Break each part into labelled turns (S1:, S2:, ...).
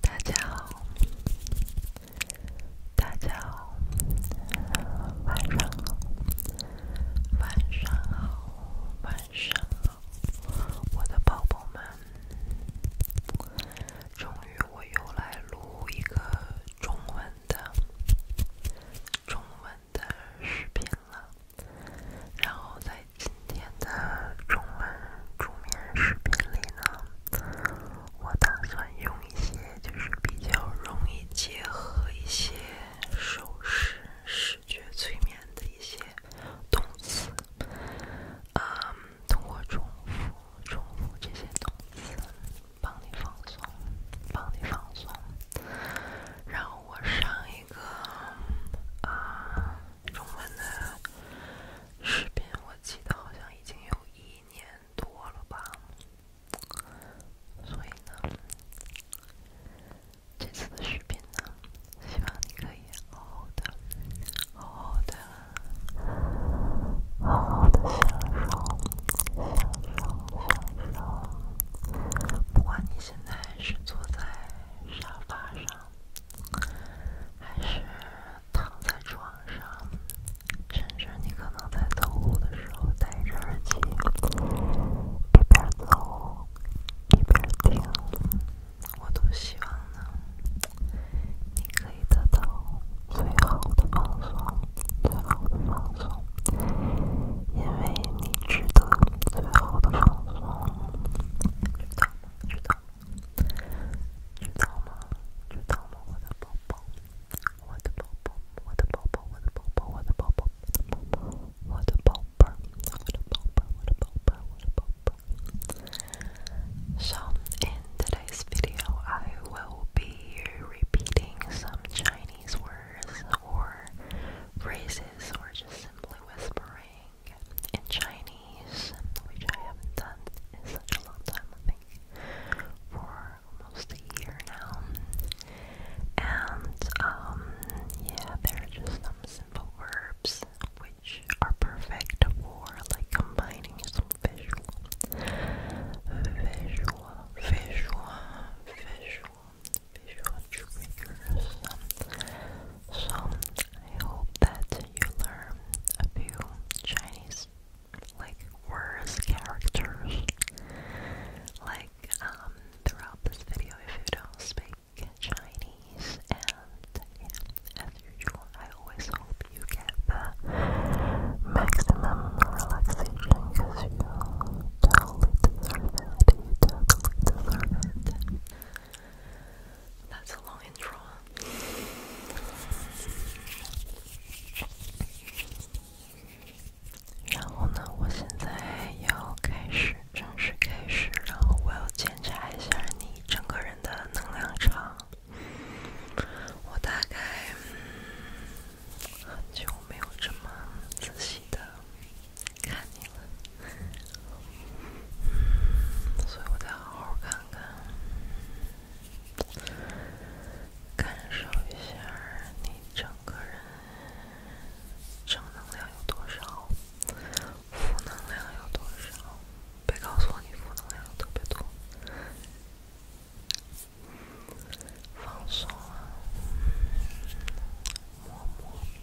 S1: 大家好，大家好，晚上好，晚上好，晚上好，我的宝宝们，终于我又来录一个中文的、中文的视频了，然后呢。今天的中文助眠视频里呢，我打算用一些就是比较容易结合一些手势、视觉催眠的一些动词，啊，通过重复、重复这些动词，帮你放松，帮你放松。然后我上一个啊。中文的视频，我记得好像已经有一年多了吧，所以呢，这次的视频呢，希望你可以好好的、好好的、好好的享受、享受、享受，不管你现在是坐在沙发上。还是躺在床上，甚至你可能在走路的时候戴着耳机，一边走一边听，我都希望能你可以得到最好的放松，最好的放松，因为你值得最好的放松，知道吗？知道。So in today's video, I will be repeating some Chinese words or phrases, or just simply whispering in Chinese, which I haven't done in such a long time, I think, for almost a year now. And, um, yeah, there are just some simple verbs which are perfect for like combining some visual, visual, visual, visual, visual triggers. Um, so, I hope that you learn a few Chinese, like, words, characters, like, um, throughout this video if you don't speak Chinese, and, as usual, I always hope you get the maximum relaxation, because you totally deserve it, you totally deserve it. That's long intro. 然后呢，我现在要开始，正式开始。然后我要检查一下你整个人的能量场。我大概嗯，很久没有这么仔细的。看你了，所以我得好好看看，感受一下你整个人正能量有多少，负能量有多少。别告诉我你负能量特别多，放松啊，摸摸。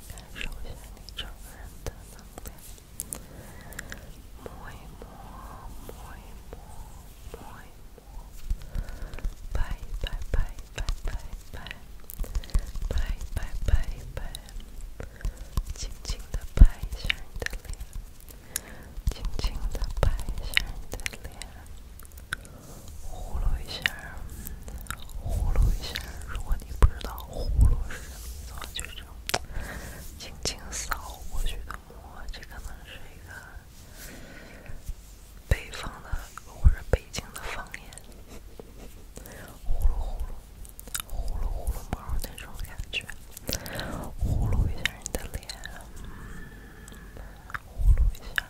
S1: 首先，你承认他的脸，摸一摸，摸一摸，摸一摸，拍一拍，拍一拍，拍，拍一拍，拍，轻轻的拍一下你的脸，轻轻的拍一下你的脸。呼噜一下，呼噜一下。如果你不知道“呼噜”是什么意思，就是这样轻轻扫过去的摸。这可能是一个北方的或者北京的方言，“呼噜呼噜，呼噜呼噜毛”那种感觉。呼噜一下你的脸，呼噜一下。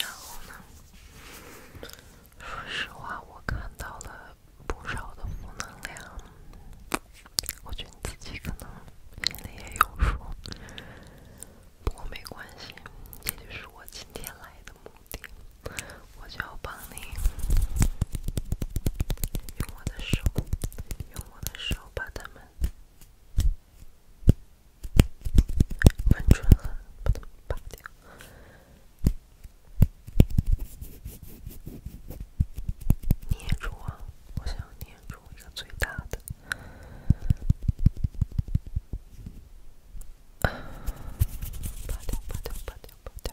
S1: 然后呢？说实话，我看到了不少的负能量。我觉得你自己可能心里也有数。不过没关系，这就是我今天来的目的。我就要帮你，拔掉，拔掉，拔掉。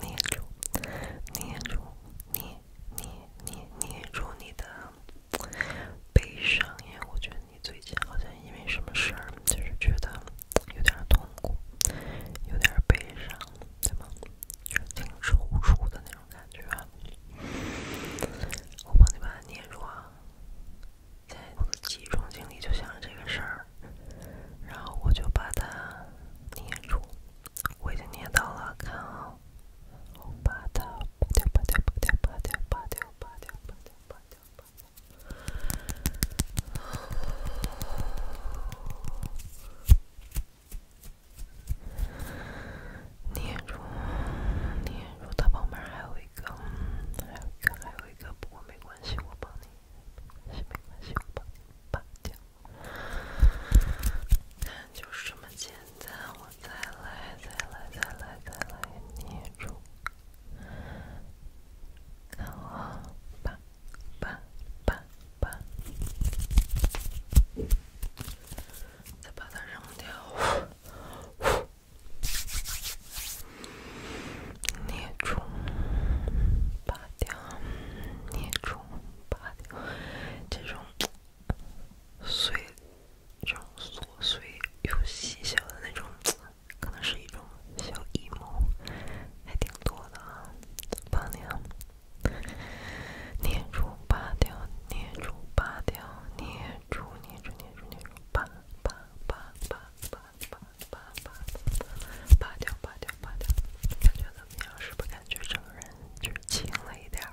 S1: 捏住，捏住，捏，捏，捏，捏住你的悲伤，因为我觉得你最近好像因为什么事儿，就是觉得有点痛苦，有点悲伤，对吗？就挺抽搐的那种感觉。我帮你把它捏住啊！在我的集中精力就想这个事儿。然后我就把它捏住，我已经捏到了，看好，把它，捏住，它旁边还有一个，还有一个，还有一个，不过没关系，我帮你。没关系，我把拔掉。看，就是这么简单。我再来，再来，再来，再来，捏住。然后，拔，拔，拔，拔。再把它扔掉。捏住，拔掉，捏住，拔掉。这种碎，这种琐碎又细小的那种，可能是一种小阴谋，还挺多的啊。拔掉，捏住，拔掉，捏住，拔掉，捏住，捏住，捏住，捏住，拔，拔，拔，拔。拔拔拔拔，拔掉拔掉拔掉，感觉怎么样？是不是感觉整个人就轻了一点儿？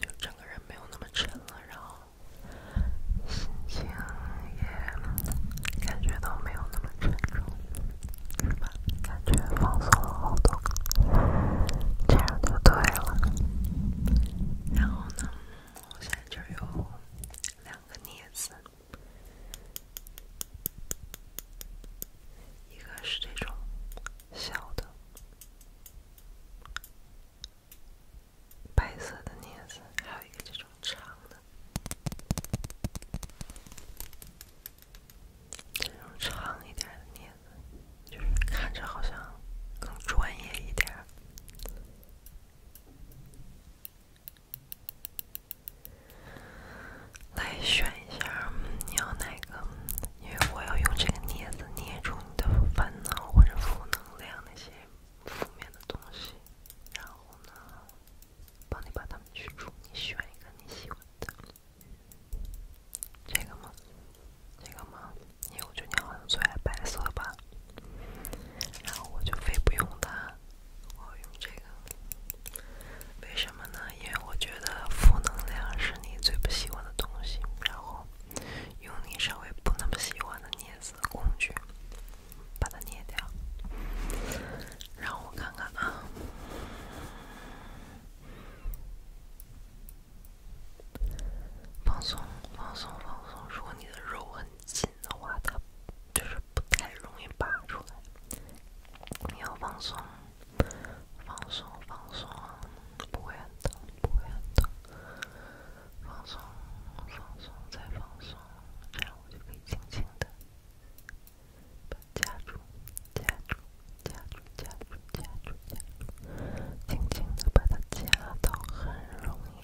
S1: 就整个人没有那么沉了，然后心情也感觉到没有那么沉重，是吧？感觉放松了好多，这样就对了。然后呢，我现在就有两个镊子。一个是这种小的白色的镊子，还有一个这种长的，这种长一点的镊子，就是看着好像更专业一点。来选一下，你要哪个？因为我要用这个镊子捏住你的烦恼或者负能量那些负面的东西，然后呢，帮你把它们去除。你喜一个你喜欢的，这个吗？这个吗？因为我觉得你好像最爱白色吧。然后我就非不用它，我要用这个。为什么呢？因为我觉得负能量是你最不喜欢的东西。然后用你稍微不那么喜欢的捏死工具，把它捏掉。然后我看看啊，放松，放松，放松。如果你的肉很紧的话，它。就是不太容易拔出来，你要放松，放松，放松，不会很疼，不会很疼，放松，放松，再放松，这样我就可以轻轻的夹住，夹住，夹住，夹住，夹住，夹住，轻轻的把它夹到，很容易。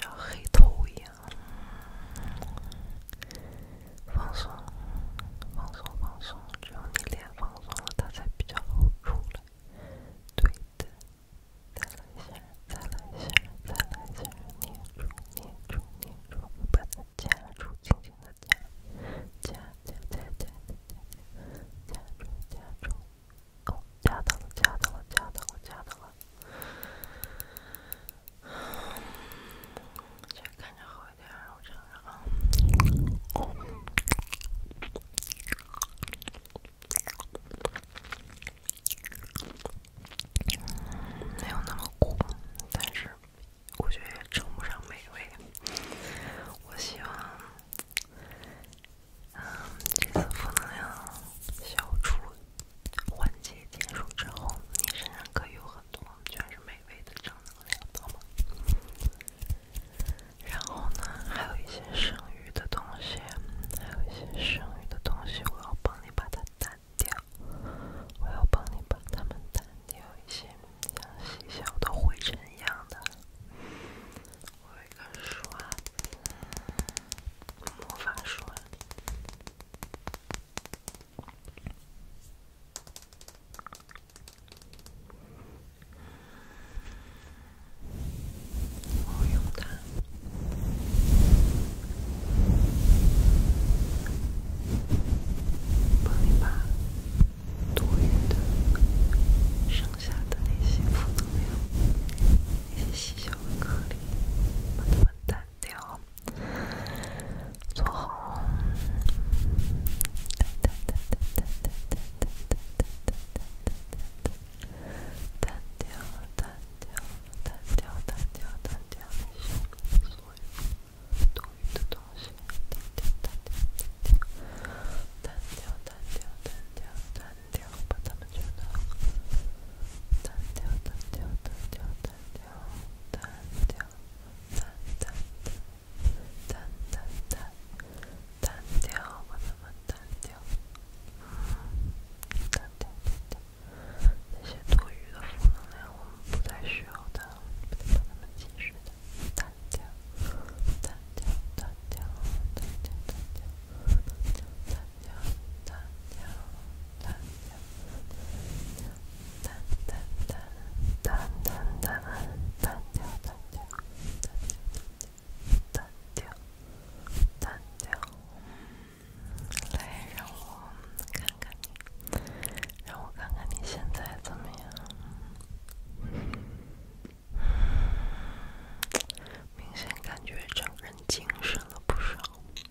S1: 像黑头一样，放松，放松，放松，只要你脸放松了，它才比较好出来。对的，再来一下，再来一下，再来一下，捏住，捏住，捏住，把它夹住，轻轻的夹，夹，夹，夹，夹，夹住，夹住，哦，夹到了，夹到了，夹到了，夹到了。这看着好一点，我尝尝啊。还有那么苦，但是我觉得也称不上美味。我希望，这次负能量消除。环节结束之后，你身上可以有很多全是美味的正能量，知吗？然后呢，还有一些剩余的东西，还有一些剩余的东西，我要帮你把它掸掉，我要帮你把它们掸掉一些像细小的灰尘一样的。我有一个刷，魔法刷。我用它剩下的那些负能量、那些细小的颗粒，把它带调，做好。哒哒哒哒哒哒哒哒哒哒哒哒哒哒哒，单调，单调，单调，单调，单调，删除所有多余的东西。哒哒哒哒哒哒，单调，单调，单调，单调，把它们去掉。单调的、单调的、单调、单调、单调、单、单、单、单、单、单、单、单调、单调、单调、单调、单调。那些多余的负能量，我们不再需要它，我们不再把它们侵蚀掉。单调、单调、单调、单调、单调、单调、单调。来，让我看看你，让我看看你现在怎么样。明显感觉整个人精神了不少。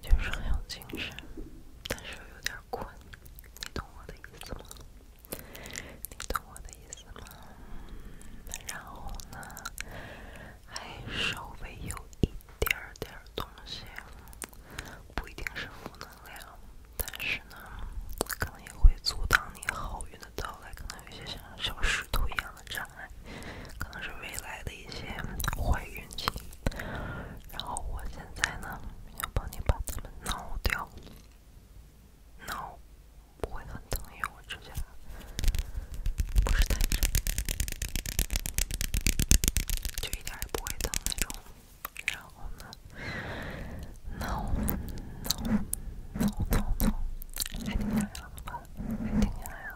S1: 就是很有精神，但是有点困，你懂我的意思吗？你懂我的意思吗？然后呢，还稍微有一点点东西，不一定是负能量，但是呢，可能也会阻挡你好运的到来，可能有些像小石头一样的。可能是未来的一些坏运气。然后我现在呢，要帮你把它们挠掉。挠不会很疼，因为我指甲就一点也不会疼那种。然后呢，挠挠挠挠挠，还挺痒痒的，还挺痒痒。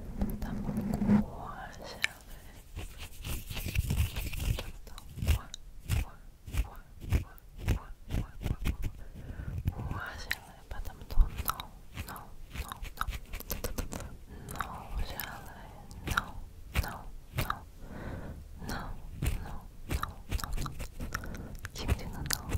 S1: 把它们挂下来，把它们挂挂挂挂挂挂挂下来，把它们都弄弄弄弄弄下来，弄弄弄弄弄弄弄弄轻轻的弄弄。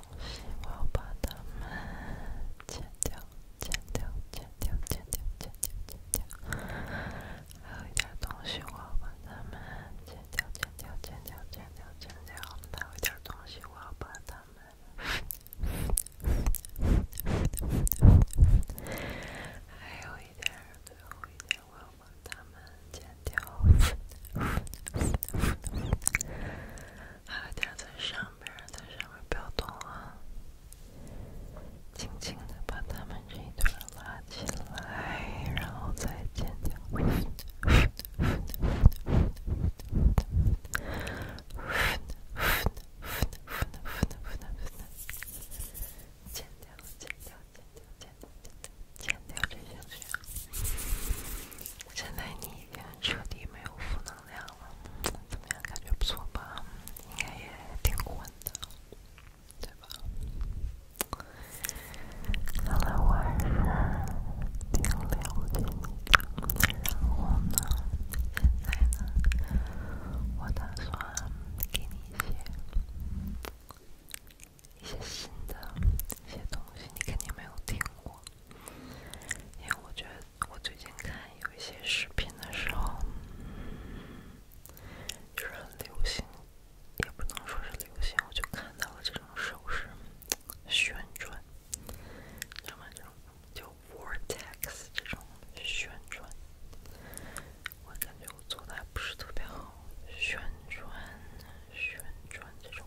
S1: 东西，我要把它们剪掉，剪掉，剪掉，剪掉，剪掉，剪掉。还有一点东西，我要把它们剪掉，剪掉，剪掉，剪掉，剪掉。还有一点东西，我要把它们。还有一点，最后一点，我要把它们剪掉。好，吊在上边，在上边不要动啊！轻轻的把它们这一段拉起来，然后再尖叫！呼的呼的呼的呼已经彻底没有负能量了，怎么样？感觉不错吧？应该也挺混的，对吧？hello，晚上，冰凉的清晨，温现在呢？我打算给你一些一些新的一些东西，你肯定没有听过。因为我觉得，我最近看有一些视频的时候，就是很流行，也不能说是流行，我就看到了这种手势旋转，什么这种就 vortex 这种旋转，我感觉我做的还不是特别好，旋转、旋转这种。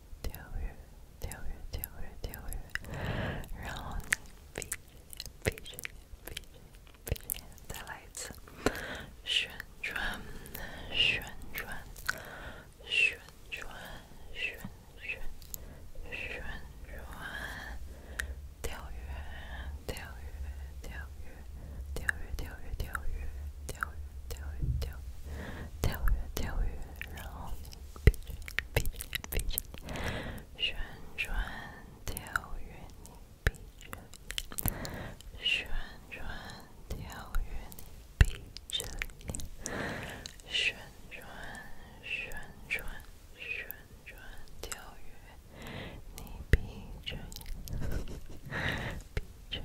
S1: 跳跃，跳跃，跳跃，跳跃，然后你闭着眼，闭着眼，闭嘴，闭着眼，再来一次。旋转，旋转，旋转，旋旋旋转。跳跃，跳跃，跳跃，跳跃，跳跃，跳跃。跳跃，跳跃，跳，跳跃，跳跃，然后你闭着眼，闭着眼，闭着眼，旋转跳跃，你闭着眼，旋转跳跃，你闭着眼，旋转，旋转，旋转跳跃，你闭着眼，闭着眼。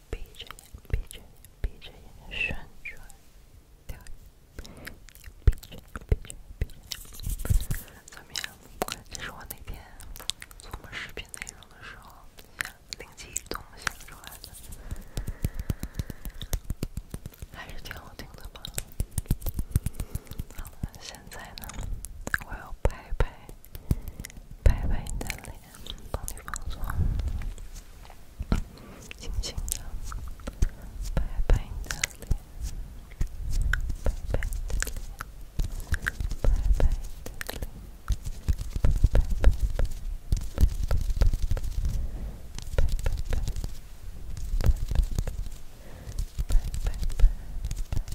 S1: 闭着眼，闭着眼，闭着眼旋转。闭着闭着闭着怎么样？这是我那天琢磨视频内容的时候灵机一动想出来的，还是挺好听的吧？好了，现在呢，我要拍拍拍拍你的脸。帮你放松，轻轻的拍拍你的脸，拍拍你的脸，拍拍拍拍拍拍拍拍拍拍拍拍拍拍。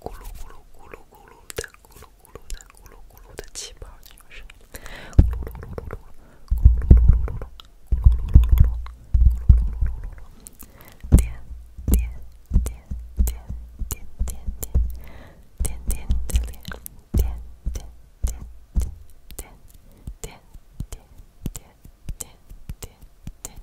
S1: 咕噜咕噜咕噜咕噜的，咕噜咕噜的，咕噜咕噜的气泡女生，咕噜噜噜噜咕噜噜噜噜噜，噜噜噜噜噜，噜噜噜噜噜噜噜，点点点点点点点点点点点点点点点点点。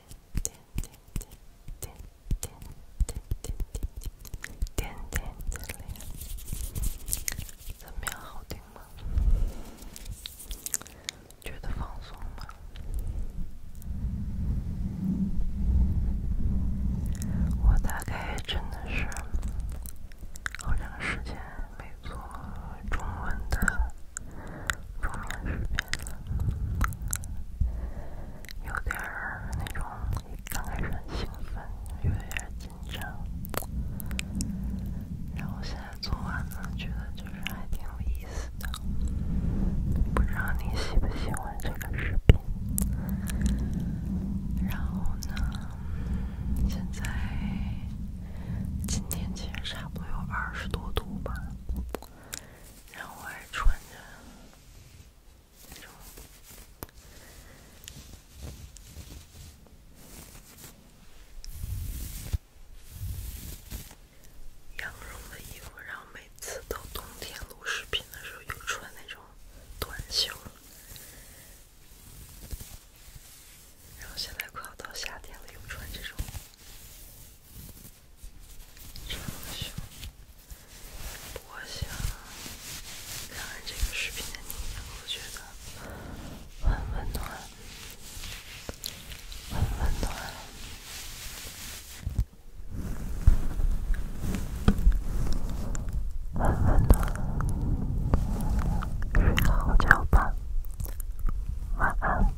S1: 点点点点点点点点点点点点怎么样好听吗？觉得放松吗？我大概真的是好长时间没做中文的中文视频。有点那种刚开始兴奋，有点紧张，然后现在做完了，觉得就是还挺有意思的。不知道你喜不喜欢这个视频？然后呢，现在今天其实差不多有二十多度吧。然后我还穿着那种羊绒的衣服，然后每次到冬天录视频的时候又穿那种短袖，然后现在快要到夏天了，又穿这种。我想看完这个视频的你，我觉得很温暖，很温暖，很温暖。睡好觉吧，晚安。